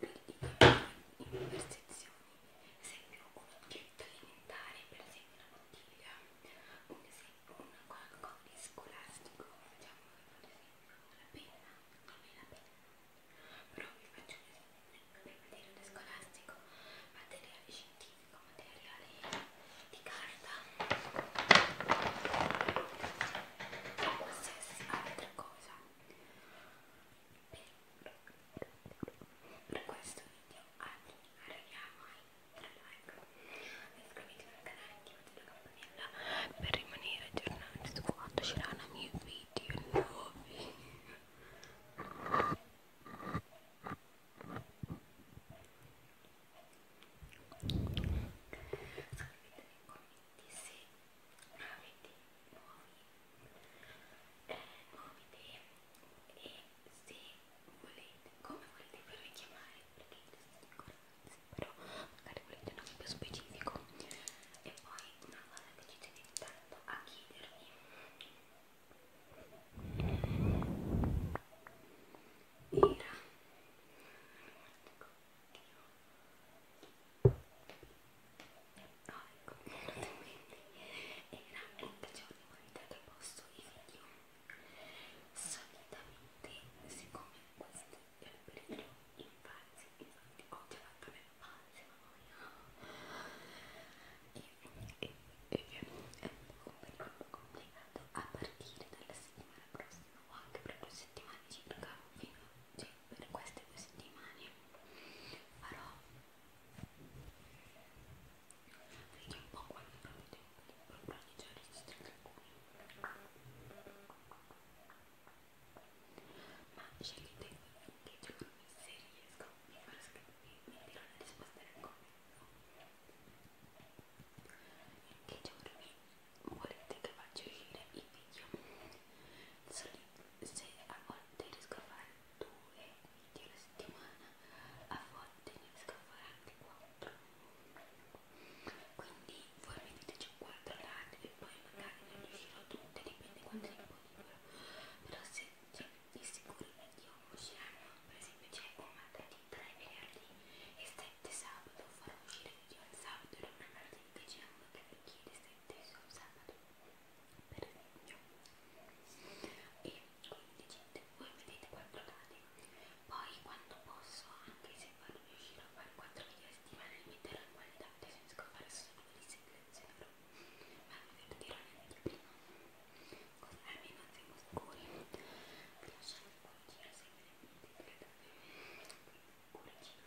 in conversazioni, ad esempio un oggetto alimentare, per esempio una bottiglia, un esempio un qualcosa di scolastico, facciamo per esempio una penna, a me la penna, però vi faccio un esempio, il materiale scolastico, materiale scientifico, materiale di carta, o qualsiasi altra cosa per questo video arriviamo ai 3 like. Iscrivetevi al canale e attivate la campanella per rimanere aggiornati su quando usciranno i miei video nuovi. Scrivetemi con di se avete nuovi, eh, nuove idee e se volete, come volete farvi chiamare, perché però magari volete un nome più specifico e poi una cosa che ci tenete tanto a chiedervi era no ecco era il giorno quantità che posto i video solitamente siccome questo è il periodo infanzia infatti ho già fatto le fasi e, e, e è un periodo complicato a partire dalla settimana prossima o anche per due settimane circa fino a oggi per queste due settimane farò vedi un po' quando trovo tempo di proporre già registrare alcuni ma scegliete che giorni se riesco mi farò scrivere mi dirò la risposta nel commento in che giorni volete che faccia uscire i video se a volte riesco a fare due video alla settimana a volte ne riesco a fare anche quattro quindi voi mi diteci quattro lati e poi magari ne riuscirò tutte dipende quanto tempo libero però se cioè, di sicuro i video usciranno per esempio c'è un martedì 3 venerdì e 7 sabato farò uscire il video il sabato e non martedì che c'è uno che mi chiede se potete usare per esempio e quindi gente voi vedete 4 dati poi quando posso anche se non riuscirò a fare 4 video a settimana li metterò in qualità per esempio scopare solo quelli selezionerò ma vi divertirò neanche prima così almeno siamo sicuri vi lascio un cuoricino se volete quindi cuoricino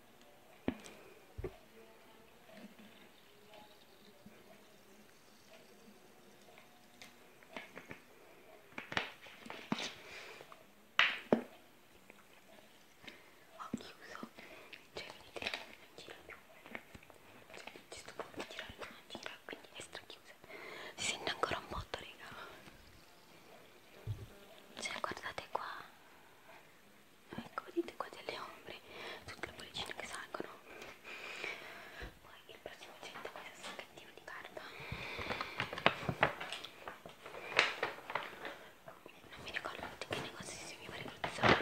Ho chiuso, cioè vedete non gira più, cioè, questo punto di girare non gira, quindi è strachiusa. Si sente ancora un botto, raga. Cioè guardate qua ecco vedete qua delle ombre tutte le bollicine che salgono poi il prossimo oggetto è questo sacchettino di carta non mi ricordo di che negozio si mi pare di Zara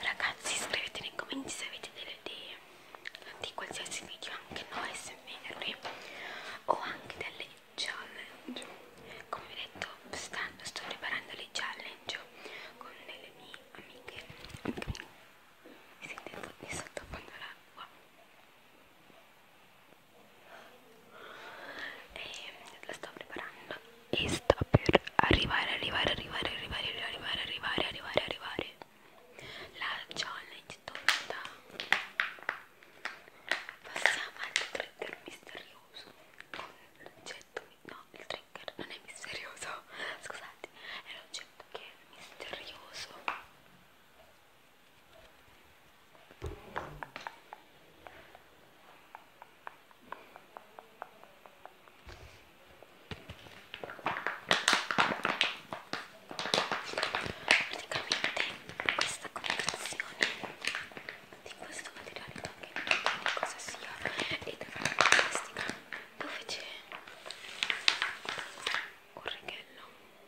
Ragazzi scrivete nei commenti se avete delle idee di qualsiasi video, anche noi se venerdì o anche delle challenge. Come vi ho detto, stanno, sto preparando le challenge con delle mie amiche. Mi sentite tutti sottofondo l'acqua e la sto preparando e sta per arrivare arrivare arrivare arrivare arrivare arrivare arrivare arrivare la challenge tolta passiamo al trigger misterioso con l'oggetto no il trigger non è misterioso scusate è l'oggetto che è misterioso Praticamente questa confezione di questo materiale che non so cosa sia ed è fantastica dove c'è un reghello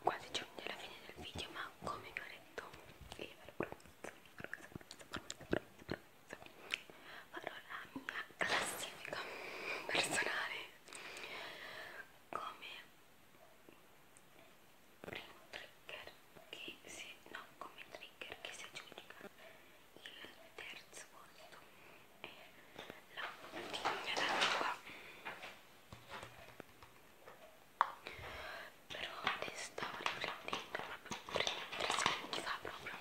quasi già alla fine del video ma come vi ho detto e eh, ve lo prometto, prometto, prometto, prometto, prometto farò la mia classifica personale come primo trigger che si no come trigger che si aggiunga il terzo posto è la bottiglia d'acqua però ne stavo riprendendo proprio tre secondi fa proprio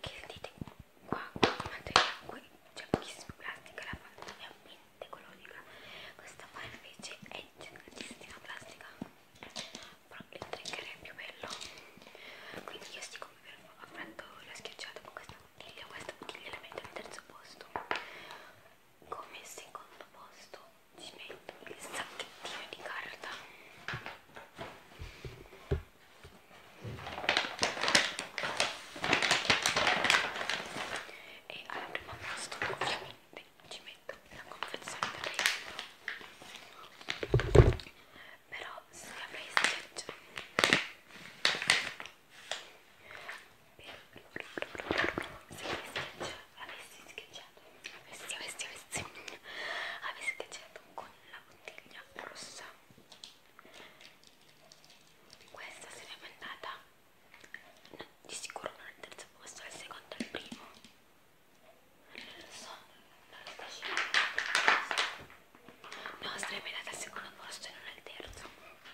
che vedete qua quanto è c'è pochissimo plastica la fanta è ambiente ecologica questa qua invece è tantissima plastica però il trigger è più bello quindi io siccome ho fatto la schiacciata con questa io questo gliela metto al terzo posto come secondo posto ci metto il sacchettino di carta e al primo posto ovviamente ci metto la confezione del regalo però se avessi cioè, se avessi schiacciato avessi, avessi, avessi avessi schiacciato con la bottiglia rossa questa sarebbe andata no, di sicuro non al terzo posto al secondo al primo non lo so non lo sto scegliendo no sarebbe andata al secondo posto e non al terzo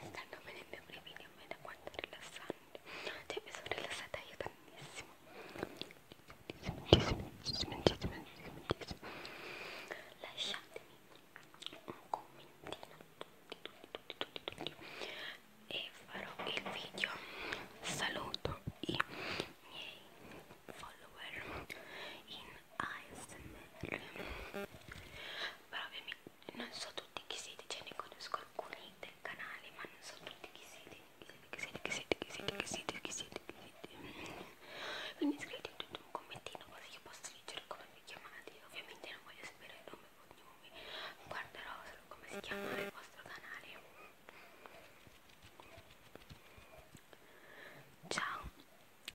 Mi stanno venendo i brividi, ma da quanto rilassante. Cioè mi sono rilassata io tantissimo. Tantissimo, tantissimo, tantissimo, tantissimo. Lasciatemi un commentino tutti, tutti, tutti, tutti, tutti. E farò il video. Saluto i miei follower in ASMR però ovviamente non so tutti chi siete cioè ne conosco alcuni del canale ma non so tutti chi siete chi siete chi siete chi siete chi siete chi siete chi siete, chi siete. quindi scrivete un commentino così io posso leggere come vi chiamate ovviamente non voglio sapere il nome e cognomi guarderò solo come si chiama il vostro canale ciao